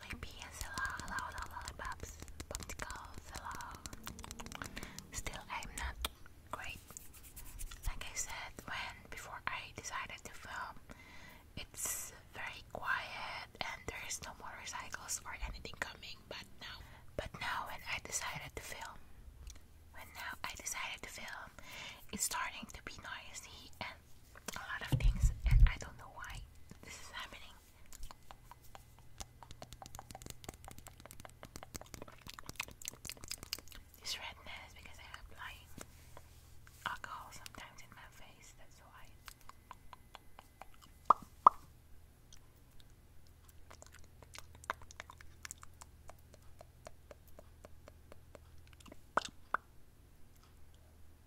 Olympia Salon, hello, hello, lollipops, popsicle, salon. Still, i not great. Like I said, when before I decided to film, it's very quiet and there is no motorcycles or anything coming. But now, but now when I decided to film, when now I decided to film, it's starting to be noisy and a lot of things, I don't know why this is happening. This redness because I apply alcohol sometimes in my face, that's why.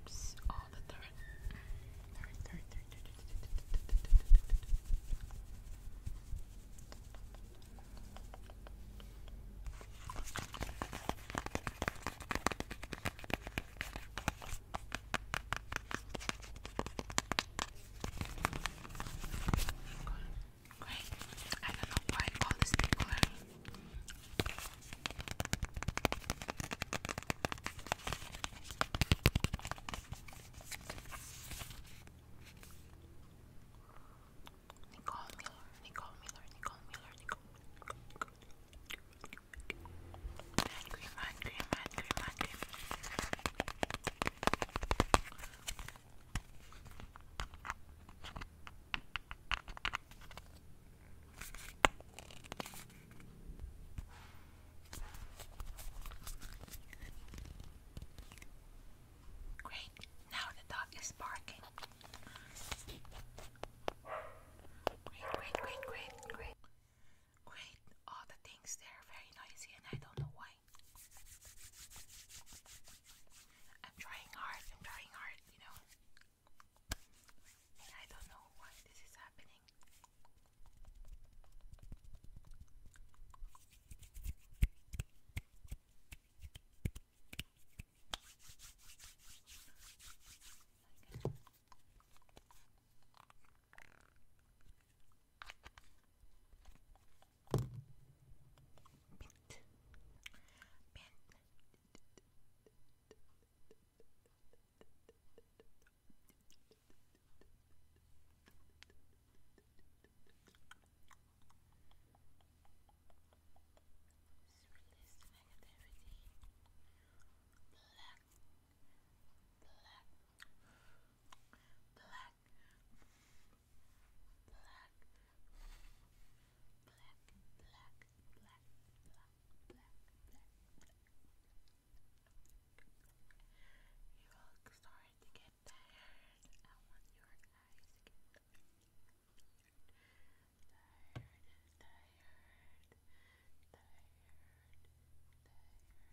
Oops, on the third. Third, third, third, third, third, third, third, third, third. Okay. Great. I don't know why I call this thing glue. Miller, Nicole Miller, Nicole Miller, Nicole Miller. Green, green, green, green, green, green, green. Great, now the dog is barking. Great, great, great, great, great. Great, all the things there are very noisy and I don't know why. I'm trying hard, I'm trying hard, you know. And I don't know why this is happening. Okay. Mint. Mint. negativity. Blah will start to get tired and when your eyes get tired, tired, tired, tired, tired, tired, tired, tired, tired, tired, tired, tired, tired, tired, tired,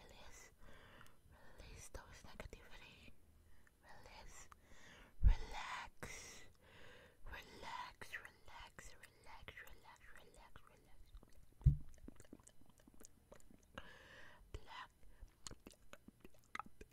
Release, release those negativity. Release, relax, relax, relax, relax, relax, relax, relax. Black, black, black, black,